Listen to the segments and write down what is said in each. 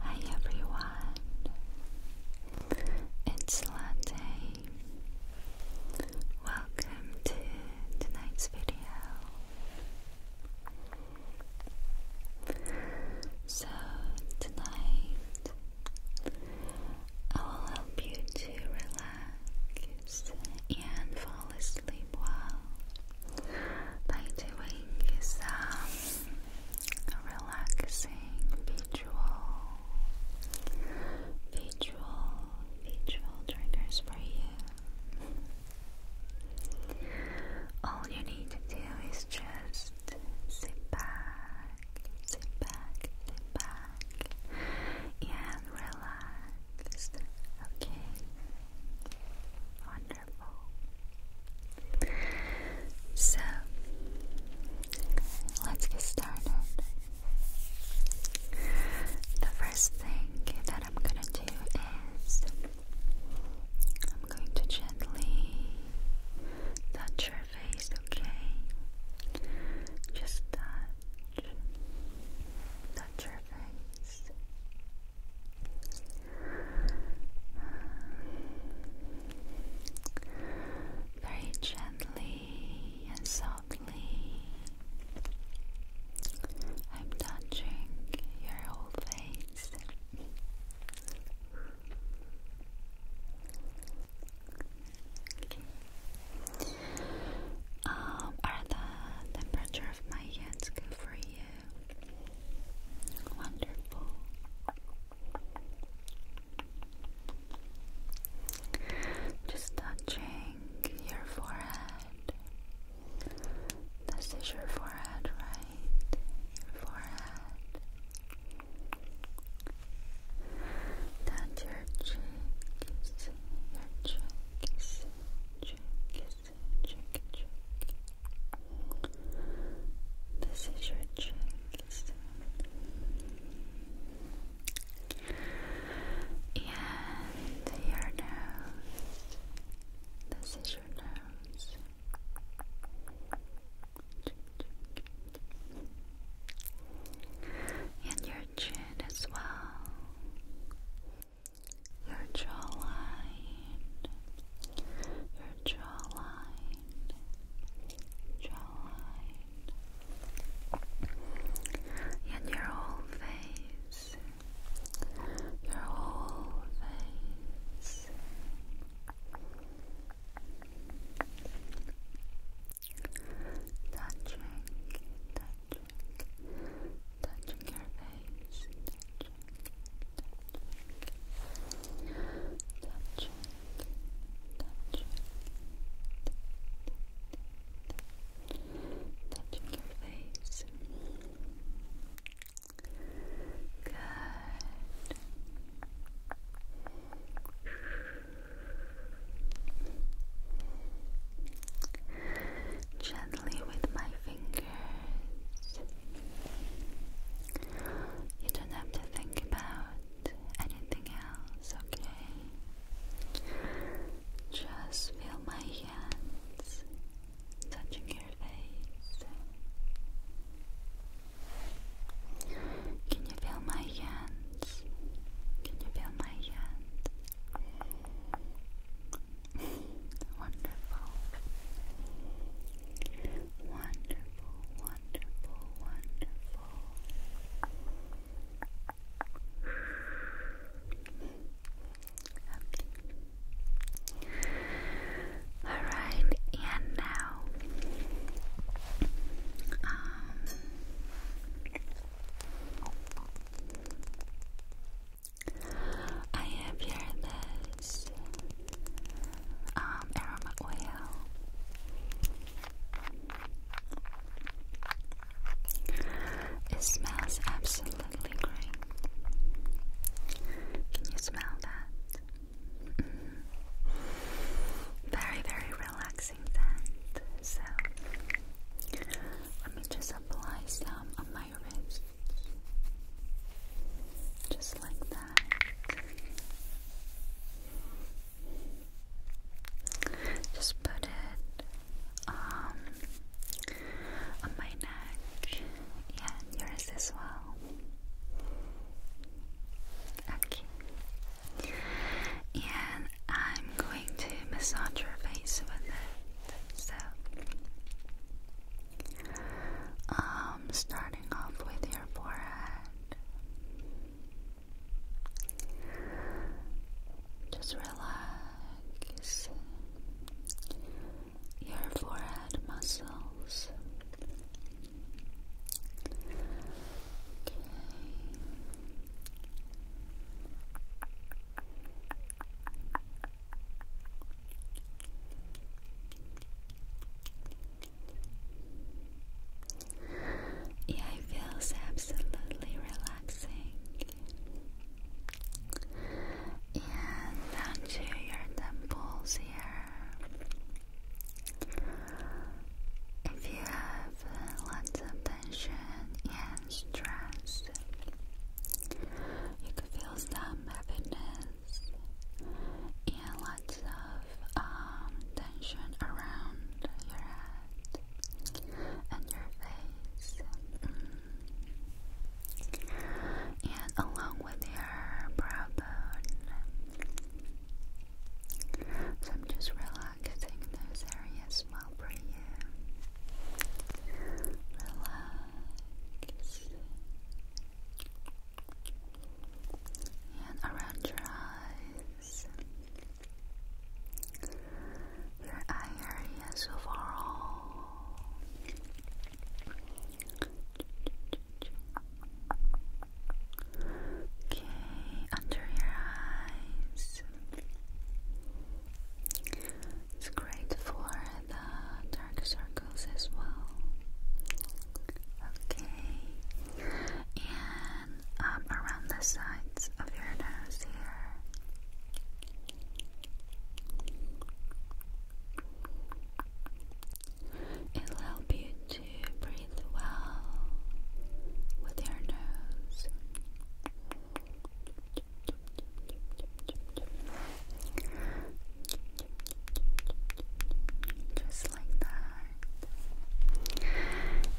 Hi everyone, it's Latte. Welcome to tonight's video. So, tonight I will help you to relax and fall asleep well by doing some relaxing visual, visual, visual triggers for you. All you need to do is just sit back, sit back, sit back and relaxed. Okay, wonderful. So, let's get started. The first thing that I'm gonna do is I'm going to gently touch your face, okay? Just that uh, touch your face. Very gently and softly, I'm touching your whole face. Um, are the temperature of my hands good for you? Wonderful. Just touching your forehead. This is your forehead, right? Your forehead. That's your cheek, your cheek, see cheek, see cheek, This is your cheek, and your nose. This is your nose and your chin as well, your jawline, your jawline, jawline, and your whole face, your whole face touching, touching, touching your face, touching, touching, touching, your face. Good gently with my fingers. You don't have to think about anything else, okay? Just feel my hands touching your face. Can you feel my hands? Can you feel my hands? wonderful, wonderful, wonderful, wonderful. All right, and now, um, I have here this um, aroma oil. It smells absolutely great. Can you smell that? Mm-hmm. Very, very relaxing. So let me just apply some on my wrist. Just like that. Just put it um, on my neck. Yeah, and yours as well. Okay and I'm going to massage your face with it. So, um, starting off with your forehead, just relax your forehead muscles. Okay. Yeah, it feels absolutely relaxing. And down to your temples here. If you have lots of tension, yeah, stress. You could feel some heaviness and lots of um, tension around your head and your face. Mm-hmm. And along with your brow bone. So I'm just relaxing targeting those areas well for you. Relax. And around your eyes. Your eye areas overall. Okay, under your eyes. It's great for the dark circles as well. Okay, and um, around the sides of your nose here. It'll help you to breathe well with your nose. Just like that.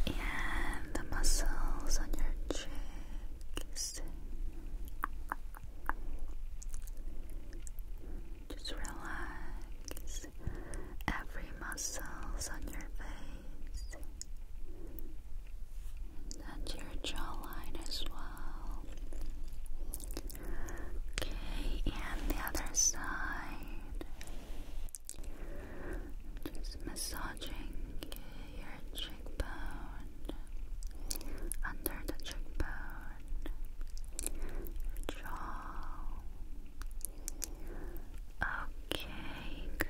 And the muscles on your cheeks. Just relax every muscles on your face face and your jawline as well. Okay, and the other side. Just massaging your cheekbone, under the cheekbone, your jaw. Okay, good.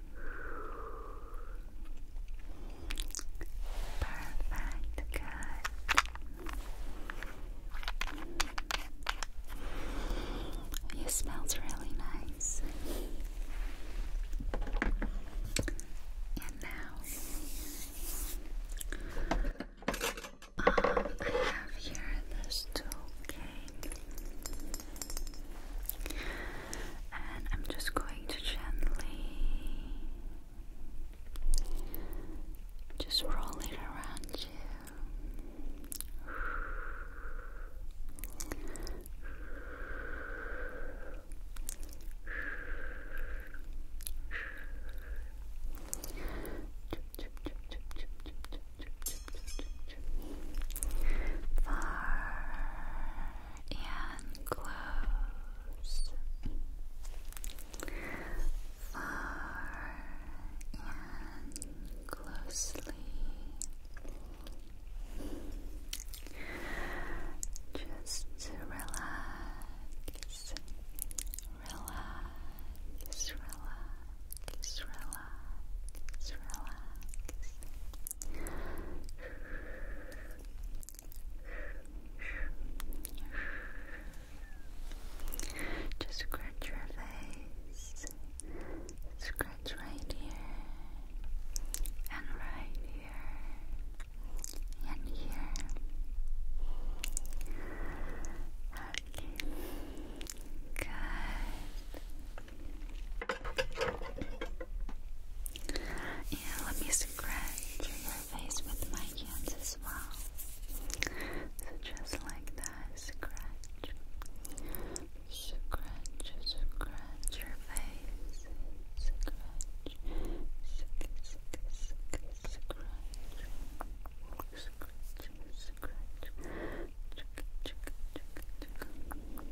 Perfect, good. It smells really nice. And now, um, I have here this tool, and I'm just going to gently just roll it around you. Far and close. Far and closely. Just to relax, relax, relax, relax, relax. Just scratch your face. Scratch right here and right here and here. Okay. Good. And let me scratch your face with my hands as well. So just like that, scratch. Scratch, scratch your face. Scratch. Scratch, scratch, scratch. Scratch, scratch, scratch.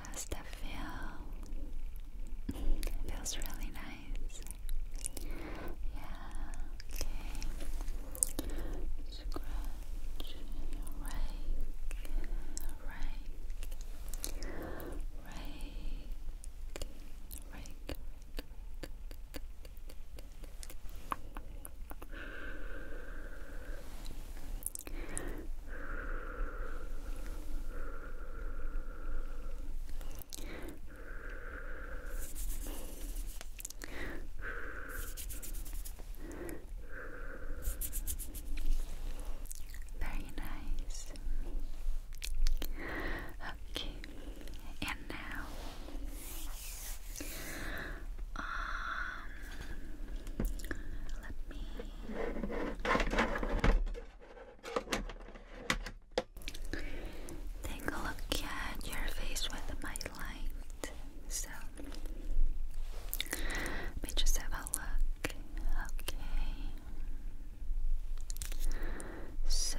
How's that feel? It feels really nice. Yeah, okay. Scratch, rake, rake, rake, rake, rake. Very nice. Okay, and now um, let me. Take a look at your face with my light. So, let me just have a look. Okay. So,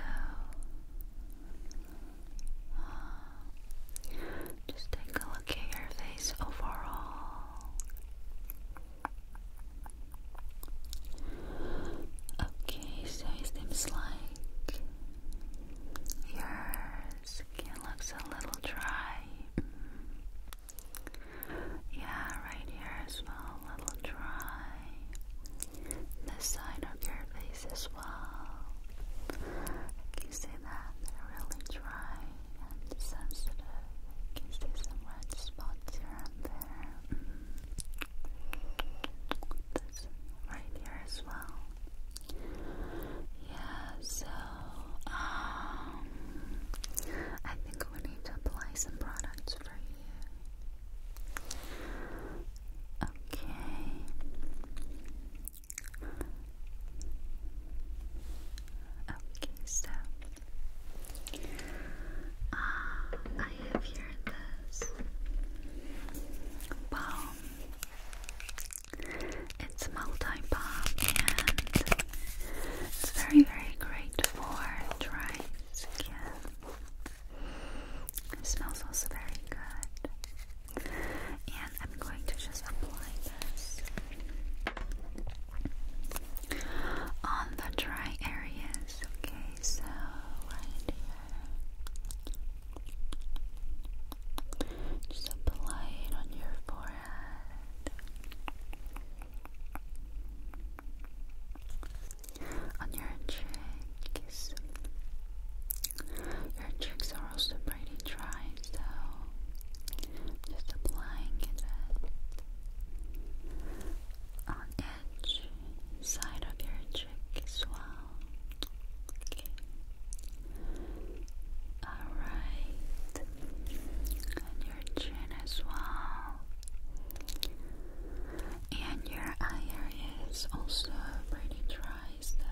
uh, just take a look at your face overall. Okay, so it seems like your skin looks a little dry. Yeah, right here as well, a little dry. The side of your face as well. Can see that? They're really dry and sensitive. Can see some red spots here and there? Mm this right here as well. Yeah, so um I think we need to apply some products for you. Okay. Okay, so uh, I have here this balm. It's multi balm and it's very, very great for dry skin. It smells also very good. And I'm going to just apply this on the dry areas. Okay, so right here. Just apply it on your forehead. On your cheeks. Your cheeks are also pretty dry, so just applying it on edge, side of your cheek as well. Alright. And your chin as well. And your eye area is also pretty dry, so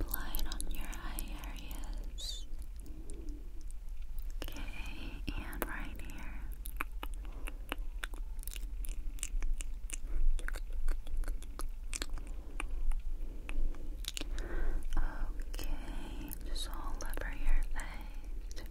apply on your eye areas. Okay, and right here. Okay, just all over your face.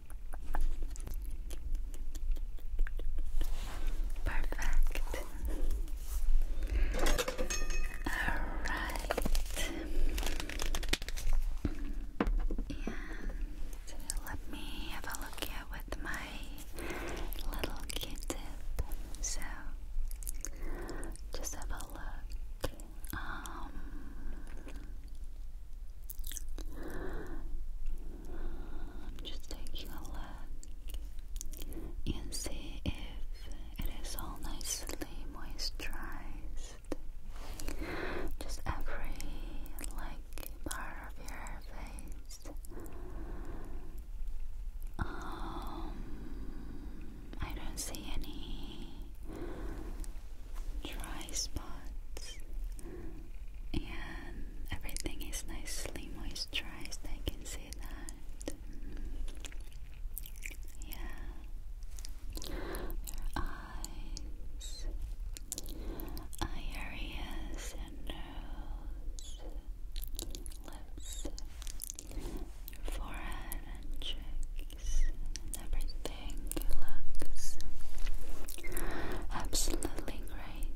Perfect. All right. And let me have a look here with my little Q-tip. So, just have a look. Um, just taking a look and see if it is all nicely moisturized. Just every like part of your face. Um, I don't see any dry spots and everything is nicely moisturized. I can see that. Yeah, your eyes, eye areas, nose, lips, your forehead, and cheeks, everything looks absolutely right?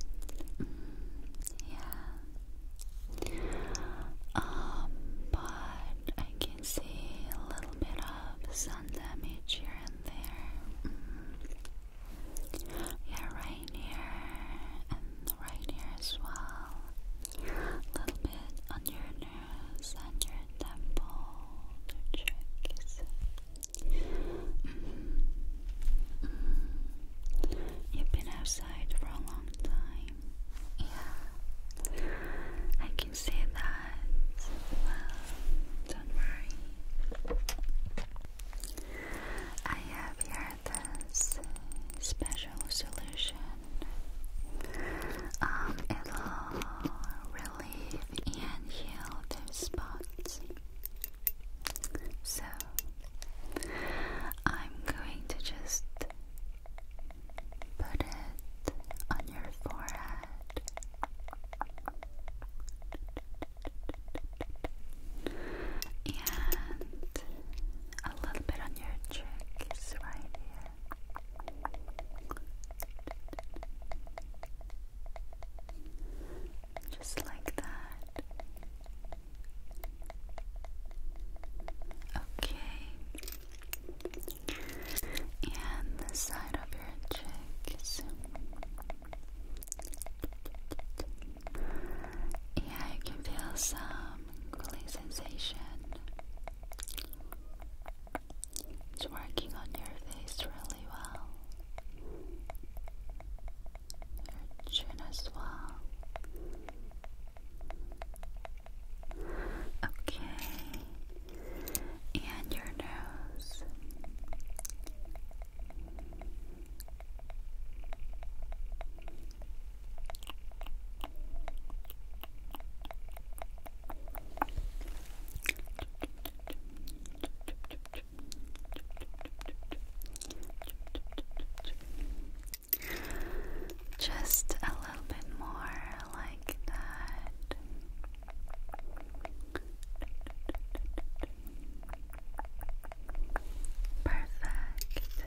Mm, yeah. Um, but I can see a little bit of sun damage here and there. Mm. Yeah, right here and right here as well. A little bit on your nose and your temple, your cheeks. Mm-hmm. You've been outside for a long time. Yeah, I can see that. Well, don't worry. I have here this special solution. Um, it'll relieve and heal those spots. So I'm going to just put it on your forehead. And a little bit on your cheeks right here. Just like that. Okay. And the side of your cheeks. Yeah, you can feel some cooling sensation. It's working on your face, relax really well. Your chin as well. Okay. And your nose. Just a little bit more like that. Perfect.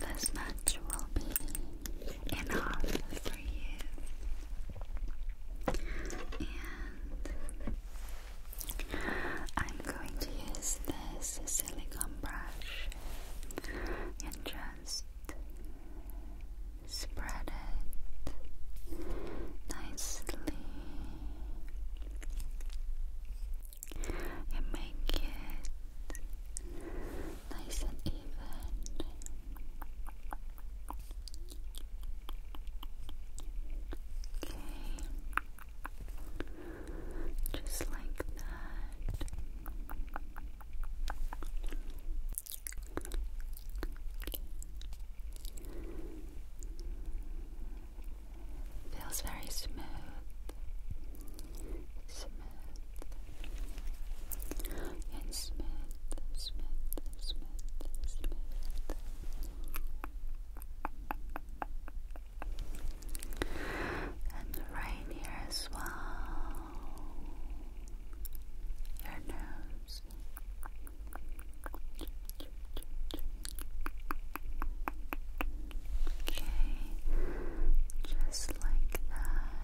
This much will be enough for you. And I'm going to use this silicone brush and just spread it nicely and make it nice and even. Okay. Just like that. Feels very smooth. Smooth and smooth, smooth, smooth. And right here as well. Your nose. Okay, just like that.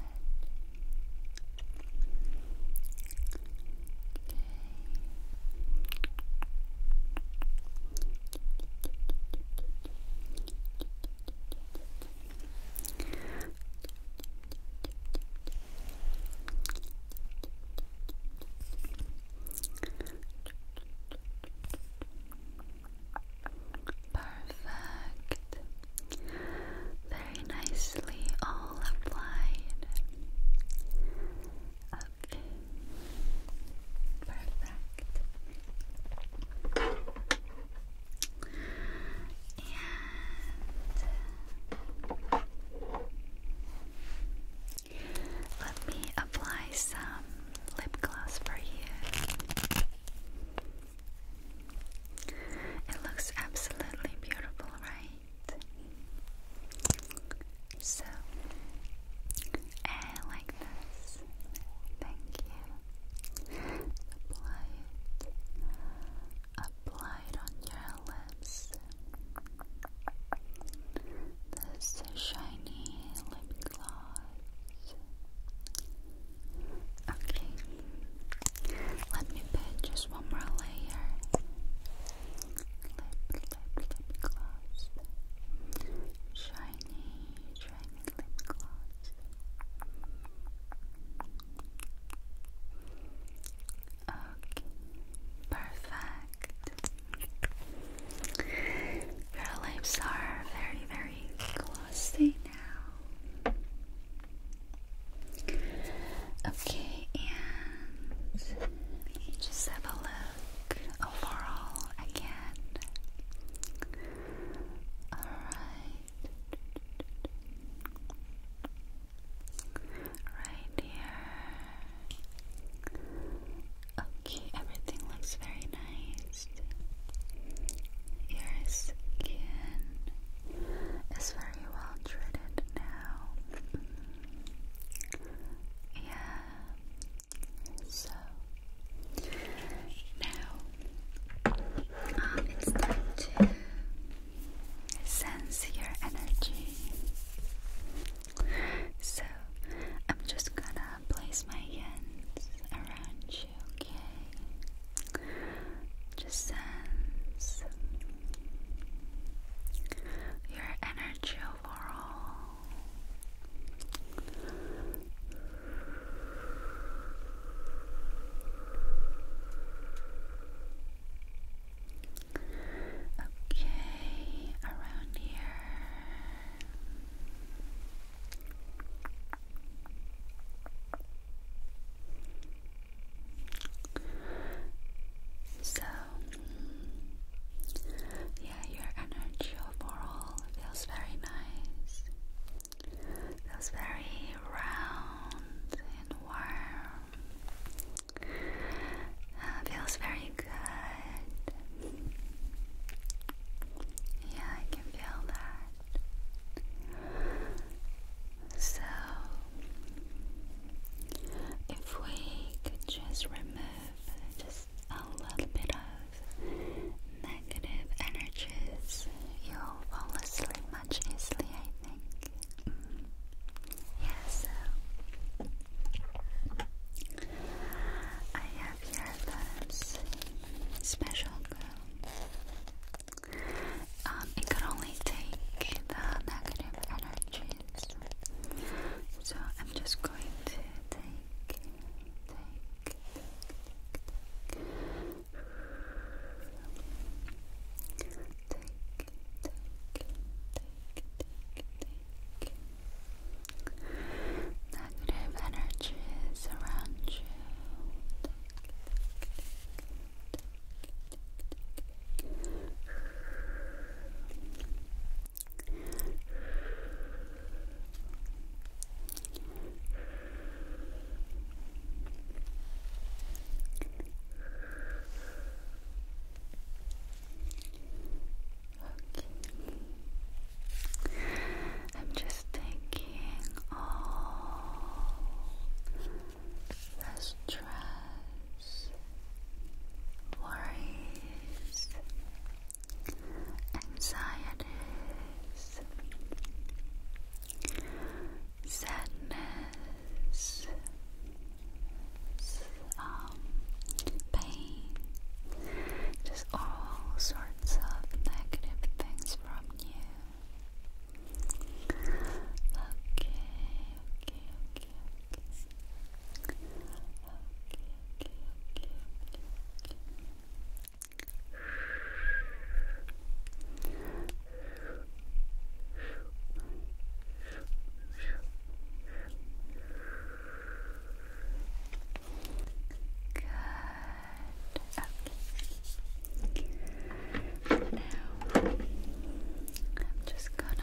Perfect. Very nicely all applied. Perfect. And let me apply some lip gloss for you. It looks absolutely beautiful, right? So like this. Thank you. Apply it. Apply it on your lips. This shiny lip gloss. Okay. Let me put just one more layer lip gloss. Shiny, shiny lip gloss. Okay, perfect. Your lips are very, very glossy now. Okay, and just have a look overall again. Alright. Right here. Okay, everything looks very nice. Your skin is very well treated now. Yeah. So now um, it's time to sense your energy. So I'm just gonna place my hands around you, okay? Just sense your energy Laurel. Okay, around here. So yeah, your energy overall feels very nice. Feels very round and warm. Uh, feels very good. Yeah, I can feel that. So, if we could just remove just a little bit of negative energies, you'll fall asleep much easily, I think. Mm so I have here this special goo. Um, it could only take the negative energy so I'm just going to take, take, take, take, take, take, take, take, take. Negative energies around you. Take, take, take, take, take, take. I'm just taking all the stress worries, anxieties, sadness, um, pain, just all sorts of negative things from you. Okay, okay, okay, now I'm just gonna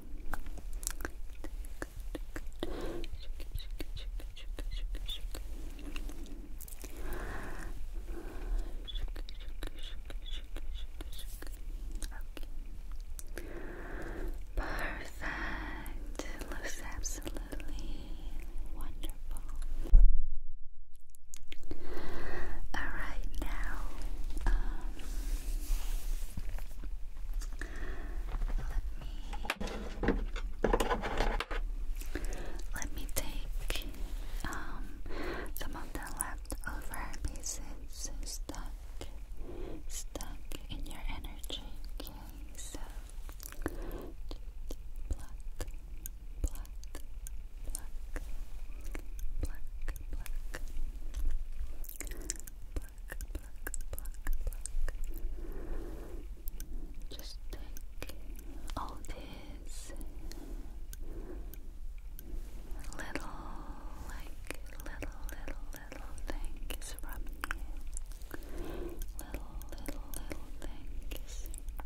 Perfect. looks absolutely wonderful. All right now. Um, let me let me take um, some of the leftover pieces stuck stuck in your energy. Okay, so just pluck, pluck, pluck, pluck, pluck, Just take all these little, like little, little, little things from you. Little, little, little things. Pluck.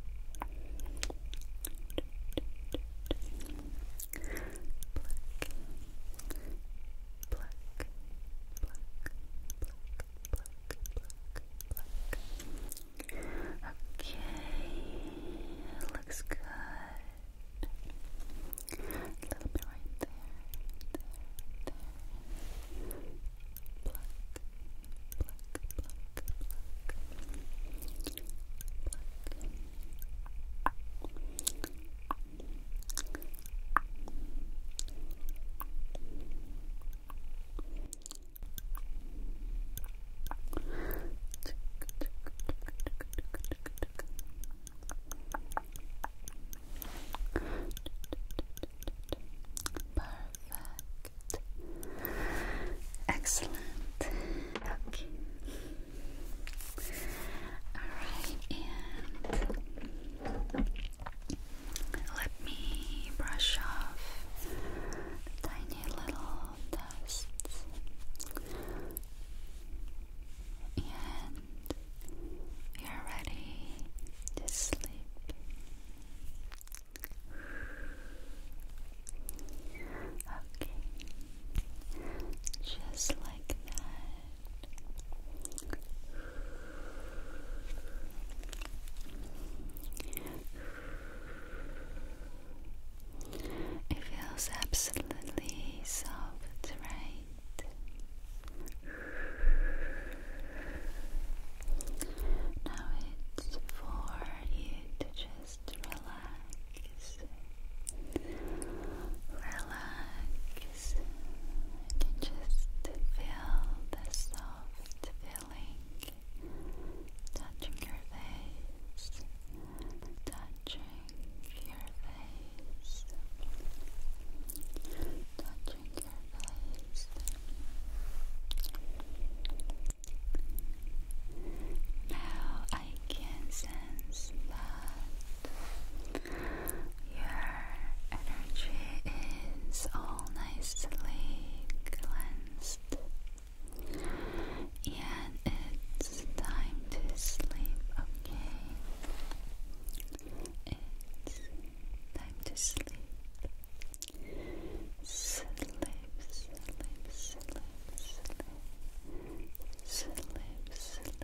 Pluck, pluck, pluck, pluck, pluck, pluck. Okay, looks good. A little bit right there, there, there. Pluck, pluck, pluck, Perfect. Excellent. Okay. All right, and let me brush off tiny little dust and you're ready to sleep. Okay, just like that. It feels absolutely soft, right? Now it's for you to just relax. Relax, face. You can just feel the soft feeling touching your face, touching your face, touching your face. Now I can sense that your energy is all nicely cleansed, and it's time to sleep, okay? It's time to sleep. Sleep, sleep, sleep, sleep, sleep, sleep.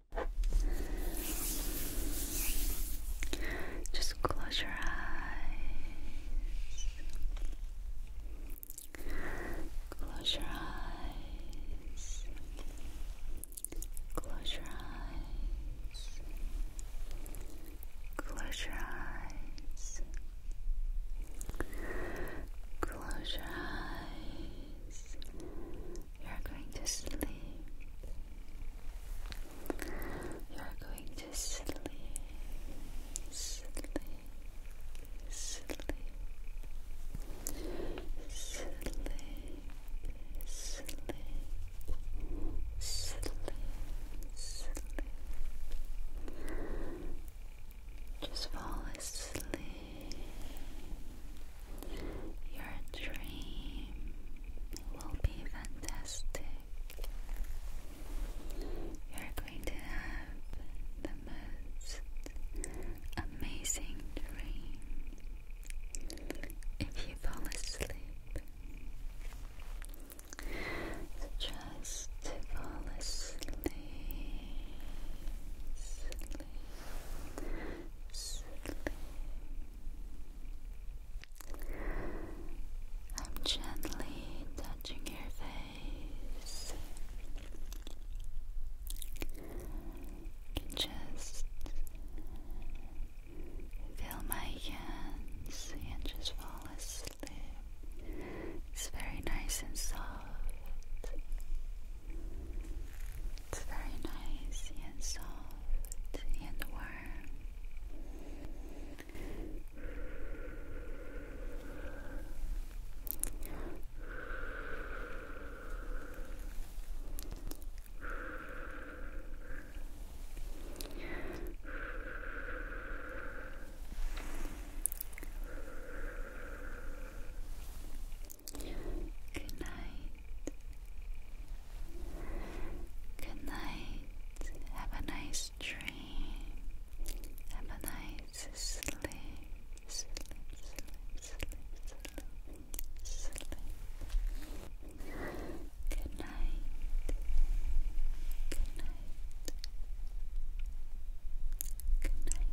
Just close your eyes. Close your eyes. Close your eyes. Close your eyes. Close your eyes days, you're going to sleep. You're going to sleep, sleep, sleep, sleep, sleep, sleep, sleep. Just fall asleep. Your dream will be fantastic. You're going to have the most amazing dream if you fall asleep. just fall asleep. I'm gently touching your face. You just feel my hands and just fall asleep. It's very nice and soft. It's very nice and soft and warm. Good night. Good night. Have a nice dream. Have a nice sleep. Good night. Good night. Good night.